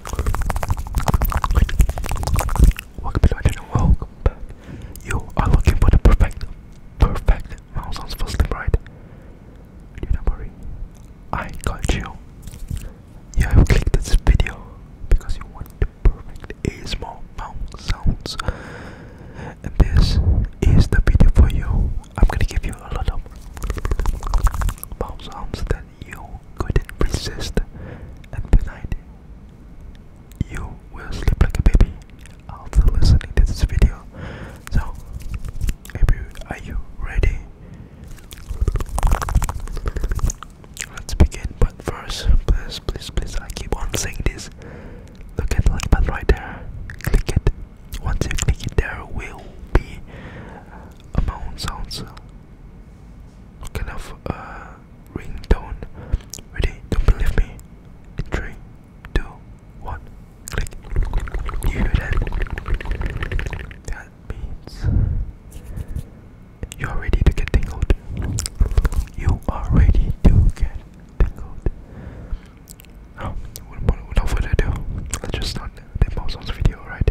Welcome to my channel, welcome back. You are looking for the perfect, perfect mouse sounds for sleep, right? Do not worry, I got you. You have clicked this video because you want perfect ASMR mouse sounds. And this is the video for you. I'm gonna give you a lot of mouse sounds that you couldn't resist. And tonight, you will sleep like a baby after listening to this video. So, you, are you ready? Let's begin. But first, please, please, please, I keep on saying this. Look at the light button right there. Click it. Once you click it, there will be amount sounds kind of uh, ringtone. Ready? Don't believe me? three, two, one, click. You hear that? That means you are ready to get tangled. You are ready to get tingled. Now, without further ado, let's just start the mouse video, right?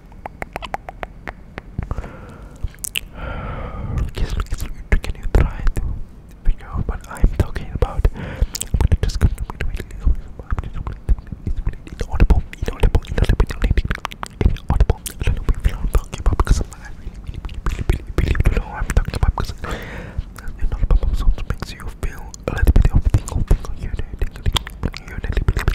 Can you try to figure out what I'm talking about? I'm gonna just going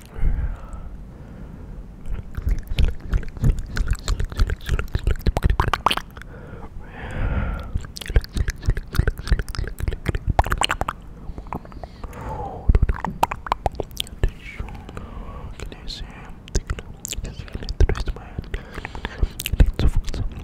Can you see? I'm thinking of the rest of my head. Let's focus on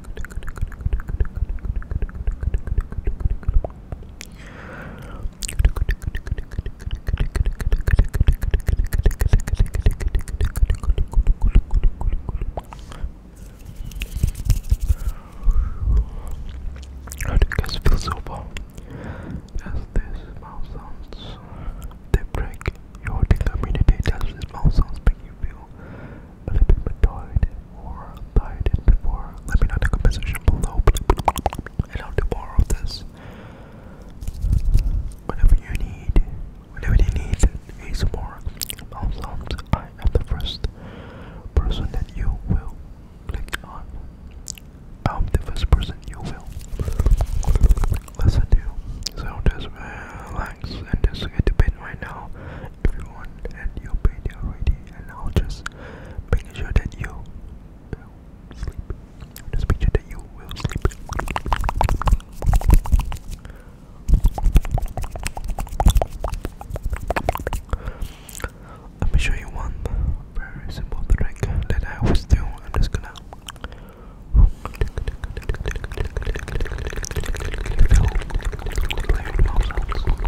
How do you guys feel so far? Does this mouth sounds they break your tingling immunity? Does this sounds make you feel I've been retarded or dieted before. Let me know in the comment section below. And I'll do more of this. Whenever you need, whenever you need ASMR, also I am the first person that you will click on. I'm the first person you will listen to. So just relax and just get to bed right now. If you want, and you'll be there already and now just making sure that you will sleep. Just make sure that you will sleep. Let me show you one very simple trick that I always do. I'm just gonna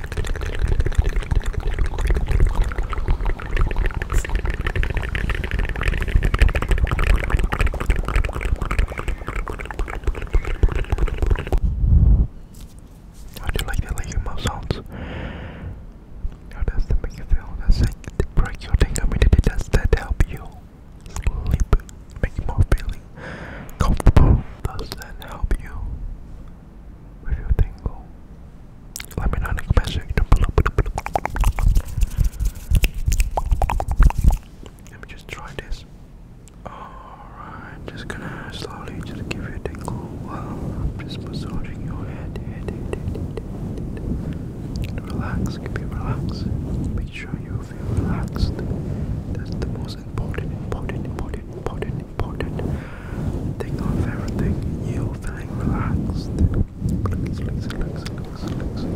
How do you like the like sounds? does that make you feel? Does it break your community? Does that help you sleep? Make you more feeling comfortable? Does that help you with tingle. Let me know in the comment section below. Let me just try this. Alright, just gonna slowly just give you a tingle while I'm just massaging your head. Relax, keep it relaxed. Make sure you feel relaxed. That's the most important, important, important, important an important thing of everything. You feeling relaxed. Relax, relax, relax, relax, relax.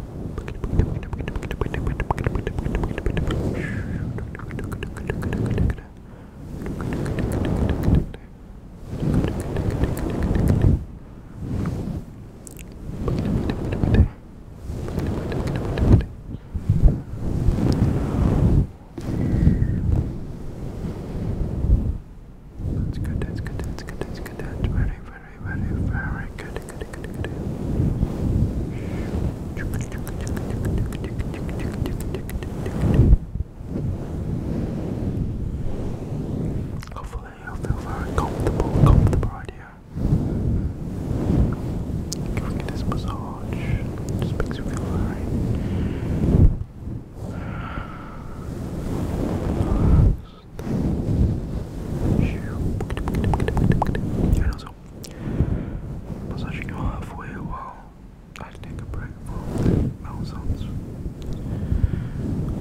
That's good, that's good, that's good, that's good, that's very, very very, Hopefully, you feel very comfortable, comfortable here. Giving it this massage just makes you feel very and also, massaging your halfway while I take a break for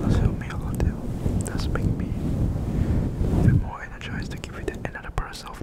That's helped me a lot That's making me even more energized to give you the another burst of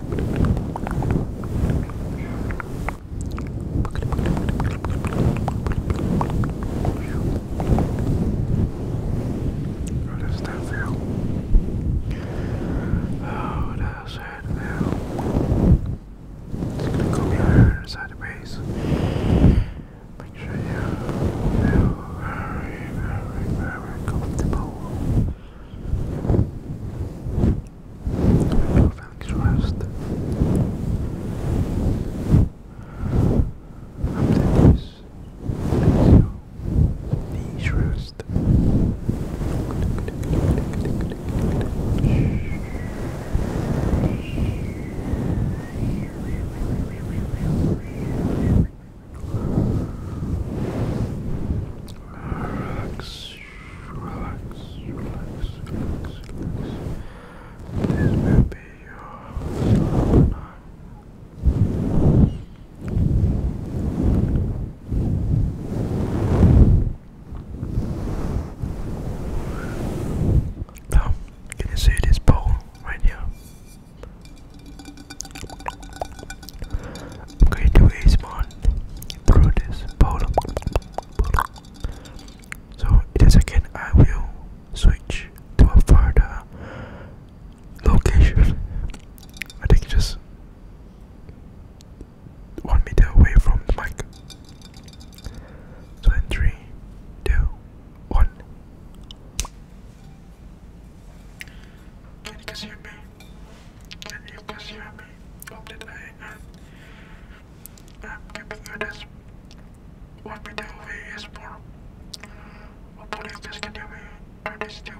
How does that feel? How does that feel? It's gonna go behind inside the base. Make sure you're very, very, very comfortable. Thanks rest. After this, please rest. Relax relax, relax, relax, relax. This will be your night. Now, can you see this ball right here? I'm going to waste one through this bottle. So in a second I will switch to a further location. I think just one meter away from the mic. three, two, one. Can you hear me? Can you guys hear Hope that I am um, keeping you this one video away is more. Hopefully this can help me through this tube.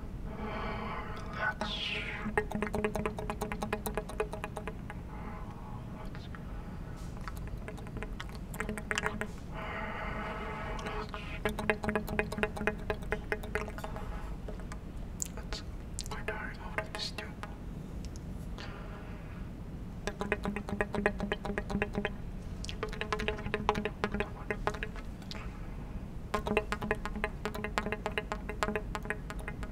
We're dying over the stoop.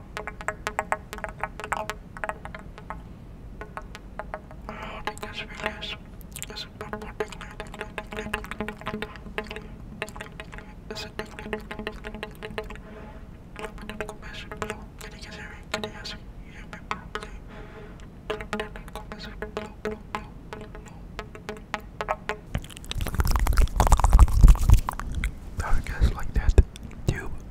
Because we you like that? Tube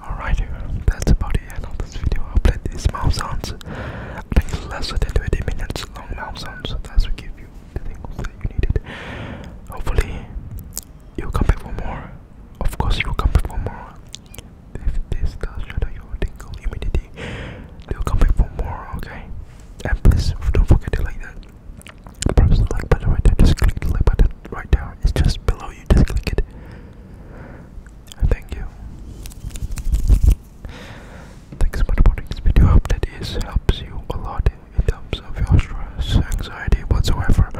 Alright, that's about the end of this video. I played these mouse sounds. I think less than 20 minutes long mouse sounds. That's will give you the things that you needed. Hopefully, you'll come back for more. Of course, you'll come back for more. If this does shatter your tingle immediately, you'll come back for more, okay? And please don't forget to like that. Press the like button right there. Just click the like button right there. It's just below you. Just click it. Thank you. Thanks so much for this video. I hope that this helps you a lot in terms of your stress, anxiety, whatsoever.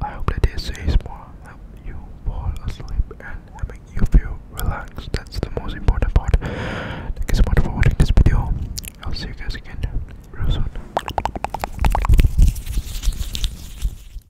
I hope that this is more help you fall asleep and having you feel relaxed. That's the most important part. Thank so much for watching this video. I'll see you guys again real soon.